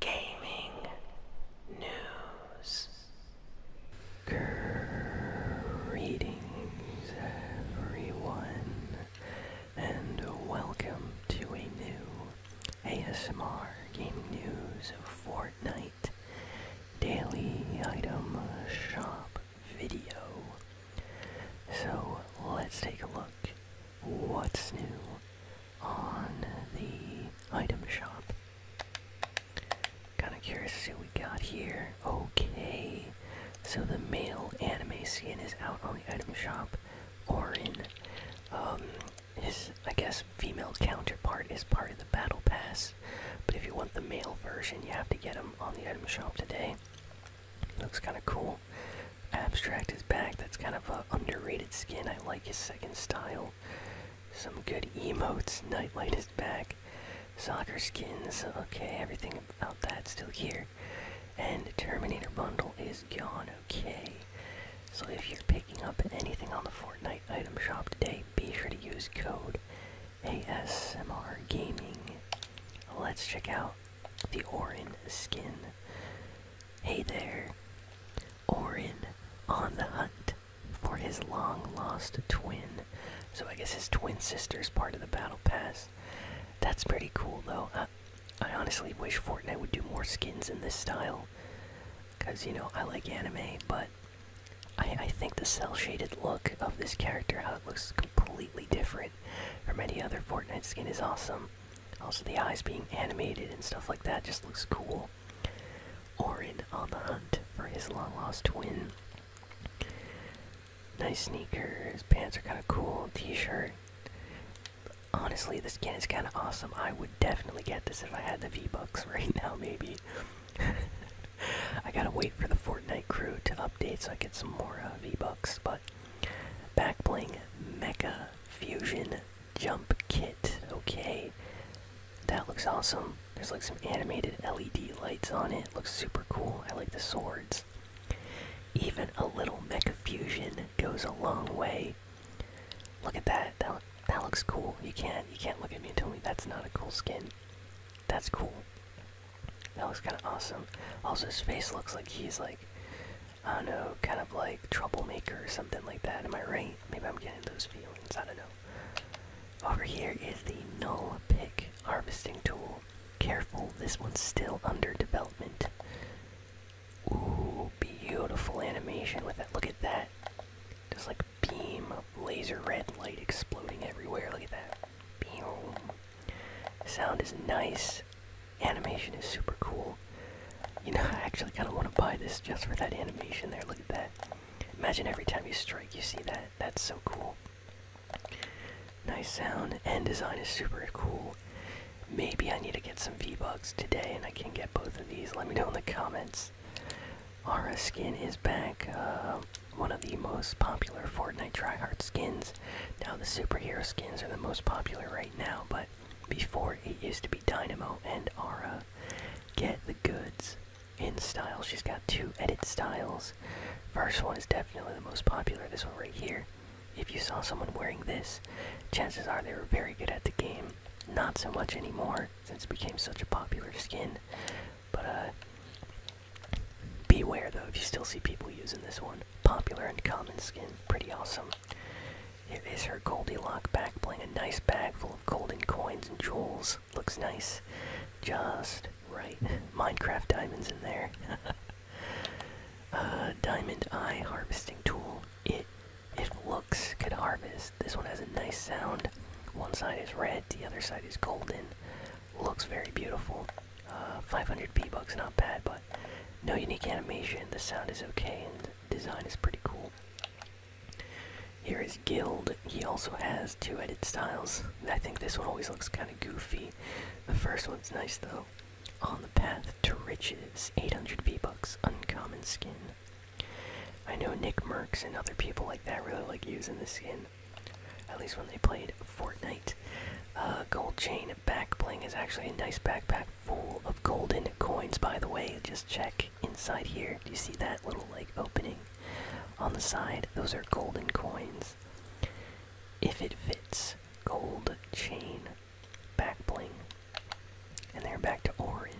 gaming news. Greetings, everyone, and welcome to a new ASMR Gaming News Fortnite Daily Item Shop video. So let's take a look. What's new? on the item shop. Kinda curious to see what we got here. Okay, so the male anime skin is out on the item shop. or in um, his I guess female counterpart is part of the battle pass, but if you want the male version, you have to get him on the item shop today. Looks kind of cool. Abstract is back. That's kind of an underrated skin. I like his second style. Some good emotes. Nightlight is back. Soccer skins. Okay, everything about that still here. And Terminator bundle is gone. Okay. So if you're picking up anything on the Fortnite item shop today, be sure to use code ASMR Gaming. Let's check out the Orin skin. Hey there. Orin on the hunt for his long lost twin. So I guess his twin sister's part of the battle pass. That's pretty cool though. I, honestly wish Fortnite would do more skins in this style. Cause you know I like anime, but I, I think the cell shaded look of this character, how it looks completely different from any other Fortnite skin, is awesome. Also, the eyes being animated and stuff like that just looks cool. Orin on the hunt for his long lost twin. Nice sneakers, pants are kind of cool, t shirt. Honestly, the skin is kind of awesome. I would definitely get this if I had the V Bucks right now, maybe. I gotta wait for the Fortnite crew to update so I get some more uh, V Bucks, but back bling Mecha Fusion jump kit. Okay, that looks awesome. There's like some animated LED lights on it. Looks super cool. I like the swords. Even a little mecha fusion goes a long way. Look at that. That that looks cool. You can't you can't look at me and tell me that's not a cool skin. That's cool. That looks kind of awesome. Also, his face looks like he's like I don't know, kind of like troublemaker or something like that. Am I right? Maybe I'm getting those feelings. I don't know. Over here is the null pick harvesting tool. Careful, this one's still under development. Ooh, beautiful animation with that. Look at that. Just like beam of laser red light exploding everywhere. Look at that. Boom. Sound is nice. Animation is super cool. You know, I actually kind of want to buy this just for that animation there. Look at that. Imagine every time you strike, you see that. That's so cool. Nice sound and design is super cool. Maybe I need to get some v bugs today and I can get both of these. Let me know in the comments. Aura skin is back. Uh, one of the most popular Fortnite tryhard skins. Now the superhero skins are the most popular right now, but before it used to be Dynamo and Aura. Get the goods in style. She's got two edit styles. First one is definitely the most popular, this one right here. If you saw someone wearing this, chances are they were very good at the game. Not so much anymore since it became such a popular skin. But uh beware though if you still see people using this one. Popular and common skin, pretty awesome. Here is her Goldilock back playing a nice bag full of golden coins and jewels. Looks nice. Just right. Minecraft diamonds in there. Uh, diamond eye harvesting tool. It it looks could harvest. This one has a nice sound. One side is red, the other side is golden. Looks very beautiful. Uh, 500 B bucks, not bad, but no unique animation. The sound is okay, design is pretty cool. Here is Guild. He also has two edit styles. I think this one always looks kind of goofy. The first one's nice though. On the path to riches, 800 V-Bucks, uncommon skin. I know Nick Merckx and other people like that really like using this skin. At least when they played Fortnite. Uh, gold chain back bling is actually a nice backpack full of golden coins, by the way. Just check inside here. Do you see that little like opening on the side? Those are golden coins. If it fits, gold chain, back bling. And they're back to Orin.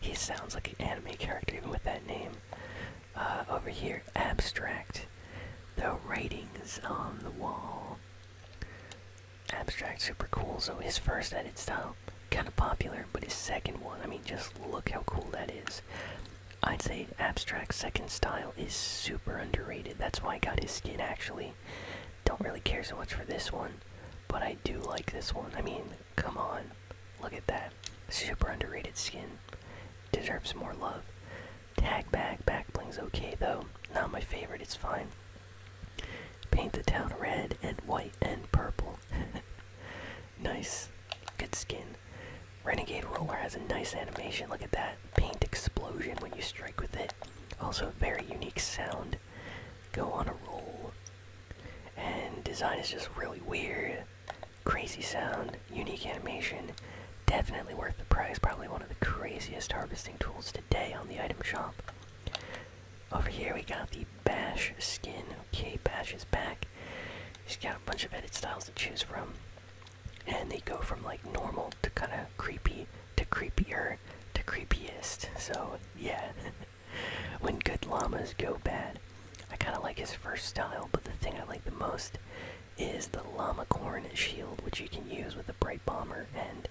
He sounds like an anime character even with that name. Uh, over here, abstract. The writings on the wall. Abstract super cool. So his first edit style kind of popular, but his second one, I mean, just look how cool that is. I'd say abstract second style is super underrated. That's why I got his skin actually. Don't really care so much for this one, but I do like this one. I mean, come on. Look at that. Super underrated skin. Deserves more love. Tag back, back bling's okay though. Not my favorite, it's fine. Paint the town red and white and purple. nice. Good skin. Renegade Roller has a nice animation. Look at that. Paint explosion when you strike with it. Also, a very unique sound. Go on a roll. And design is just really weird. Crazy sound. Unique animation. Definitely worth the price. Probably one of the craziest harvesting tools items today on the item shop. Over here we got the Bash skin. Okay, Bash is back. He's got a bunch of edit styles to choose from. And they go from like normal to kind of creepy to creepier to creepiest. So, yeah. when good llamas go bad. I kind of like his first style, but the thing I like the most is the llama corn shield, which you can use with bright bomber and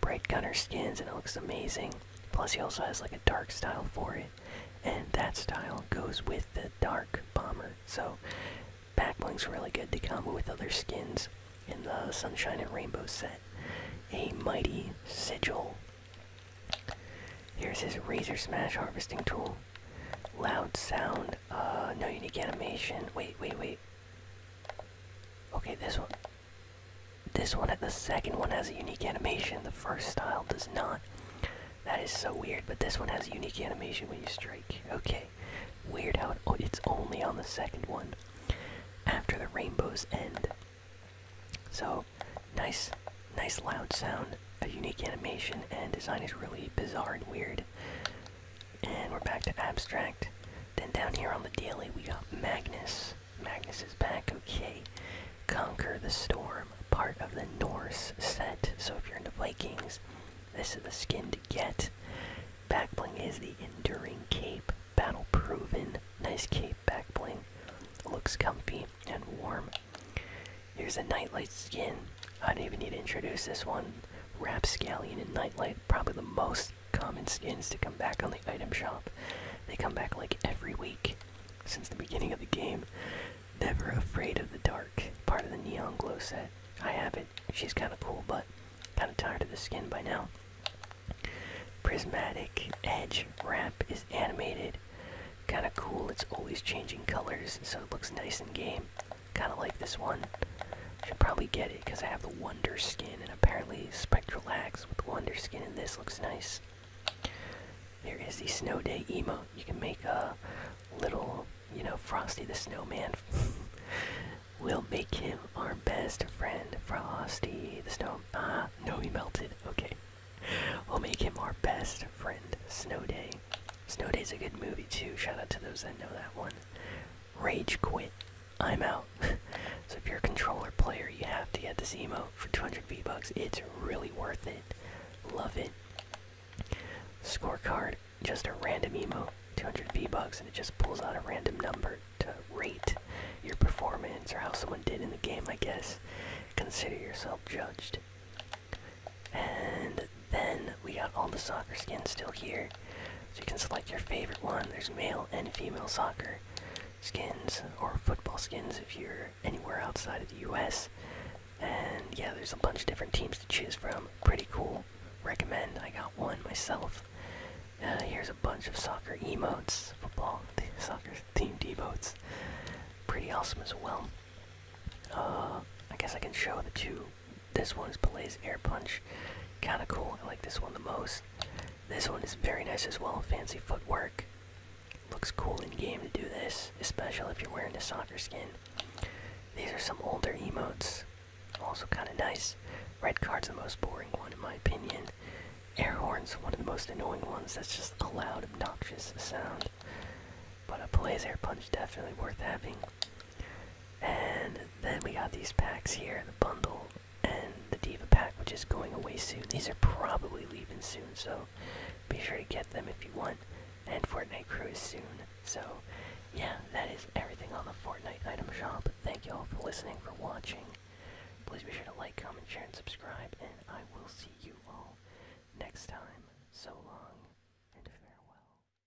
bright gunner skins, and it looks amazing. Plus, he also has like a dark style for it, and that style goes with the dark bomber. So, backblink's really good to come with other skins in the sunshine and rainbow set. A mighty sigil. Here's his razor smash harvesting tool. Loud sound. Uh, no unique animation. Wait, wait, wait. Okay, this one. This one at the second one has a unique animation. The first style does not. That is so weird, but this one has a unique animation when you strike. Okay. Weird how oh, it's only on the second one. After the rainbows end. So, nice, nice loud sound, a unique animation, and design is really bizarre and weird. And we're back to abstract. Then down here on the daily, we got Magnus. Magnus is back, okay. Conquer the Storm, part of the Norse set. So if you're into Vikings, this is the skin to get. Back bling is the Enduring Cape, battle proven. Nice cape, back bling. Looks comfy and warm. Here's a Nightlight skin. I don't even need to introduce this one. Rapscallion and Nightlight, probably the most common skins to come back on the item shop. They come back like every week since the beginning of the game. Never Afraid of the Dark, part of the Neon Glow set. I have it. She's kind of cool, but kind of tired of the skin by now. Prismatic Edge ramp is animated. Kind of cool. It's always changing colors, so it looks nice in game. Kinda like this one. Should probably get it because I have the Wonder Skin, and apparently Spectral Axe with Wonder Skin And this looks nice. Here is the Snow Day emote. You can make a little, you know, Frosty the Snowman. we'll make him our best friend, Frosty the Snow. Ah, no, he melted. Okay. We'll make him our best friend, Snow Day. Snow Day is a good movie too. Shout out to those that know that one rage quit. I'm out. so if you're a controller player, you have to get this emo for 200 V-Bucks. It's really worth it. Love it. Scorecard, just a random emo. 200 V-Bucks, and it just pulls out a random number to rate your performance or how someone did in the game, I guess. Consider yourself judged. And then we got all the soccer skins still here. So you can select your favorite one. There's male and female soccer skins, or football skins if you're anywhere outside of the US. And yeah, there's a bunch of different teams to choose from. Pretty cool. Recommend. I got one myself. Uh, here's a bunch of soccer emotes, football, soccer themed emotes. Pretty awesome as well. Uh, I guess I can show the two this one is Belay's Air Punch. Kinda cool. I like this one the most. This one is very nice as well. Fancy footwork. Looks cool in game to do this, especially if you're wearing a soccer skin. These are some older emotes. Also kinda nice. Red card's the most boring one in my opinion. Air horn's one of the most annoying ones that's just a loud, obnoxious sound. But a Belay's Air Punch definitely worth having. And then we got these packs here, the bundle and the Diva pack, which is going away soon. These are probably leaving soon, so be sure to get them if you want. And Fortnite Crew is soon. So yeah, that is everything on the Fortnite item shop. Thank you all for listening, for watching. Please be sure to like, comment, share, and subscribe, and I will see you all next time. So long, and farewell.